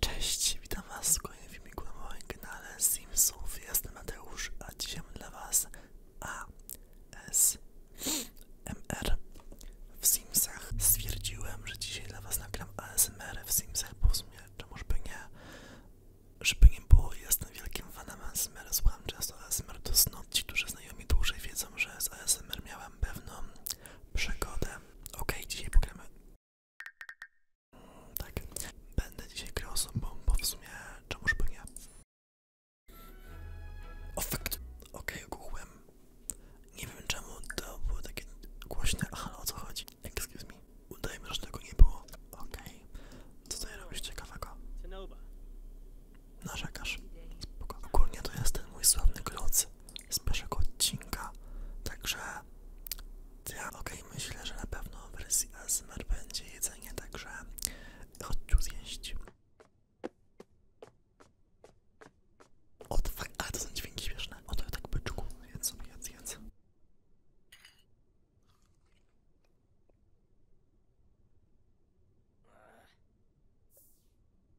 Cześć, witam was w kolejnym filmiku na moim kanale Simsów. Jestem Mateusz, a dzisiaj mam dla was ASMR w Simsach. Stwierdziłem, że dzisiaj dla was nagram ASMR w Simsach, bo w sumie czemu żeby nie, żeby nie było, jestem wielkim fanem ASMR, słucham często ASMR do snu. Ci, którzy znajomi mnie dłużej wiedzą, że z ASMR miałem pewną przygodę. Ok, dzisiaj pogramy tak. Będę dzisiaj grał sobą, bo w sumie czemuż by nie. Ofekt. Okej, okay, ogółem. Nie wiem czemu to było takie głośne, Aha, o co chodzi? Excuse me. Udajmy, że tego nie było. Okej. Co tutaj robisz ciekawego? Narzekasz. Spoko. Ogólnie to jest ten mój sławny kloc z pierwszego odcinka. Także ja ok, myślę, że na pewno w wersji ASMR będzie jedzenie, także chodź zjeść. O, ale to są dźwięki śmieszne. Oto, ja tak byczku. Jedz sobie, jedz, jedz.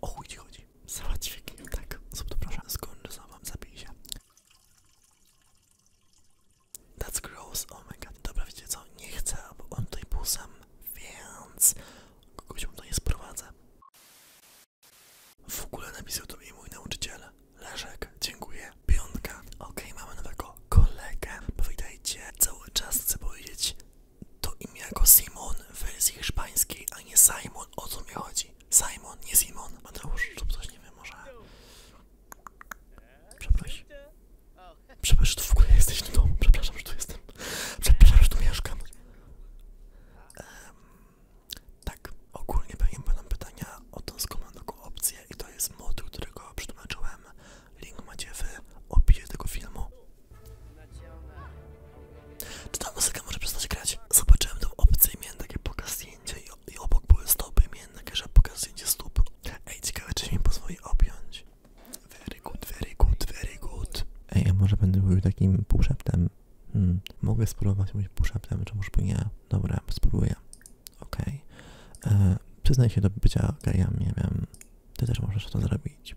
O chuj ci chodzi. Załatwię tak. Zrób to proszę. Skończę za wam, zabij się. That's gross, oh my god. Dobra, wiecie co? Nie chcę, bo on tutaj był sam, więc kogoś mu to nie sprowadzę. W ogóle napisał to mi mój nauczyciel. Leszek, dziękuję. Piątka. Ok, mamy nowego kolegę. Powitajcie, cały czas chcę powiedzieć to imię go Simon w wersji hiszpańskiej, a nie Simon. O co mi chodzi? Simon, nie Simon. Mateusz lub coś, nie wiem, może... Przepraszam. Przepraszam, że tu w ogóle jesteś w no domu. Przepraszam, że tu jestem. Przepraszam, że tu mieszkam. tak, ogólnie pewnie będą pytania o tą skomandoką opcję i to jest mod, którego przetłumaczyłem. Link macie w opisie tego filmu. Czy ta muzyka może przestać grać? Zobaczyłem tą opcję i miałem takie pokaz i, obok były stopy i takie, że pokaz zdjęcie stóp. Ej, ciekawe czy mi pozwoli objąć. Very good, very good, very good. Ej, może będę mówił takim półszeptem? Hmm. Mogę spróbować mówić półszeptem, czy może nie? Dobra, spróbuję. Ok. Okay. E, Przyznaj się do bycia gejami, nie wiem. Ty też możesz to zrobić.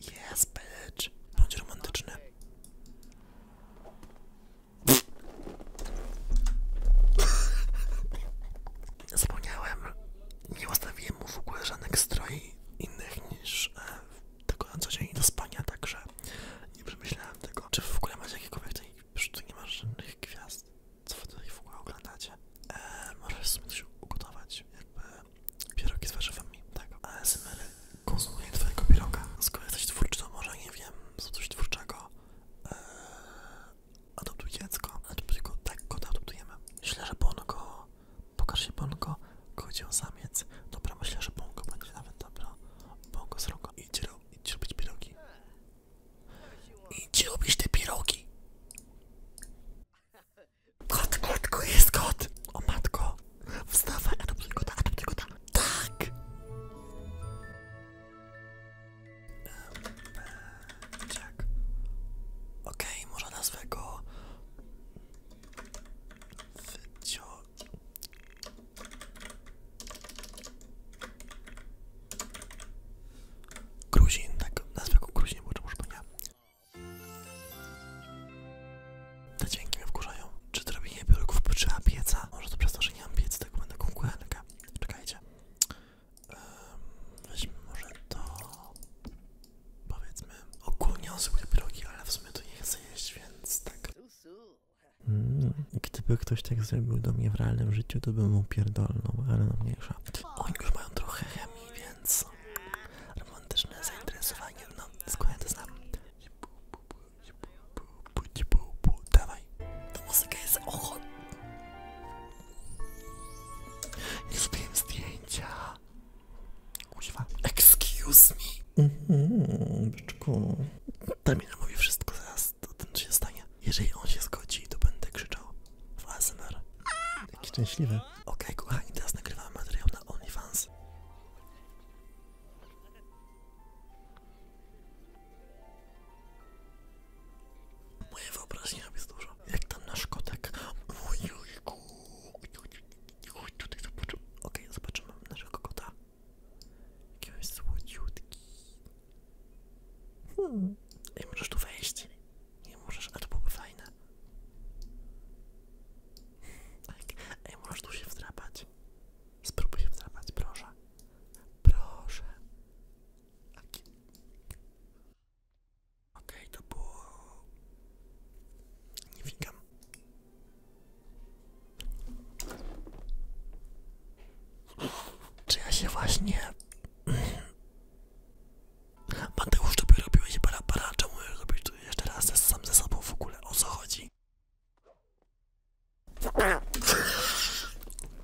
Yes, bitch. Bądź romantyczny. Zapomniałem. Nie ustawiłem mu w ogóle żadnych strojów innych niż e, tego na co dzień do spania, także nie przemyślałem tego. Czy w ogóle macie jakiekolwiek tej... tu nie masz żadnych gwiazd? Co wy tutaj w ogóle oglądacie? E, możesz sobie ugotować, jakby... Pierogi z warzywami, tak. ASMR konsumuje twojego pieroga. Skoro jesteś twórczy, to może nie wiem, co coś twórczego. Eee, adoptuj dziecko. Adoptuj go, tak go adoptujemy. Myślę, że Bongo, pokaż się Bongo, chodzi o samiec. Dobra, myślę, że Bongo będzie nawet dobra. Bongo z rąką. Idź, ro, idź robić pierogi. Idź robić te pierogi. Kot, kotko, jest kot! O matko! Wstawaj, adoptuj kota, adoptuj kota! Tak! Jack. Okej, Ok, może nazwę go... Wycio... Gruzin, tak, nazwę go Gruzin, bo to może nie. Te dźwięki mnie wkurzają. Czy to robienie piórków trzeba pieca? Może to przez to, że nie mam piecy, tak będę kukuelkę. Czekajcie. weźmy może to... Powiedzmy... Ogólnie on biurki, ale w sumie to nie chcę jeść, więc tak. Mm, gdyby ktoś tak zrobił do mnie w realnym życiu, to byłbym mu pierdolnął, ale no mniejsza. Oni już mają trochę chemii, więc więc romantyczne zainteresowanie, no skłania to znam. Dawaj, ta muzyka jest ochotna. Nie zrobiłem zdjęcia. Excuse me. Mhm, byczku. Tamina mówi wszystko zaraz, to ten się stanie. Jeżeli on się zgodzi, to będę krzyczał w ASMR. Jaki szczęśliwy. Ok, kochani, teraz nagrywamy materiał na OnlyFans. Moje wyobraźnia jest dużo. Jak tam nasz kotek. Ojejku. Chodź tutaj zobaczymy. Okej, zobaczymy naszego kota. Jaki on jest słodziutki. Hmm. Ej, możesz tu wejść. Nie możesz, ale to byłoby fajne. Tak. Ej, możesz tu się wdrapać. Spróbuj się wdrapać, proszę. Proszę. Ok, okay, to było... Nie wikam. Czy ja się właśnie... Mateusz, tobie robiłeś para, para, czemu robisz to jeszcze raz ze, sam ze sobą w ogóle, o co chodzi?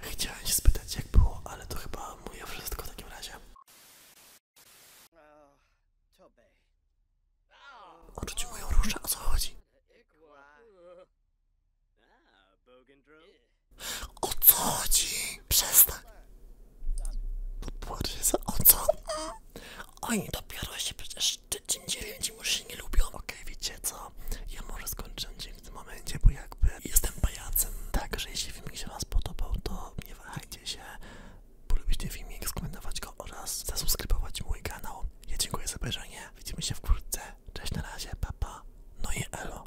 Chciałem się spytać jak było, ale to chyba moje wszystko w takim razie. Odrzucił moją różę, o co chodzi? O co chodzi? Przestań. Podpłaczę no za o co? Oni dopiero się przecież Szczecin 9 już się nie lubią. Okej, okay, wiecie co? Ja może skończę dzień w tym momencie, bo jakby jestem pajacem. Także jeśli filmik się Wam podobał, to nie wahajcie się. ten filmik, skomentować go oraz zasubskrybować mój kanał. Ja dziękuję za obejrzenie. Widzimy się wkrótce. Cześć, na razie, papa. No i elo.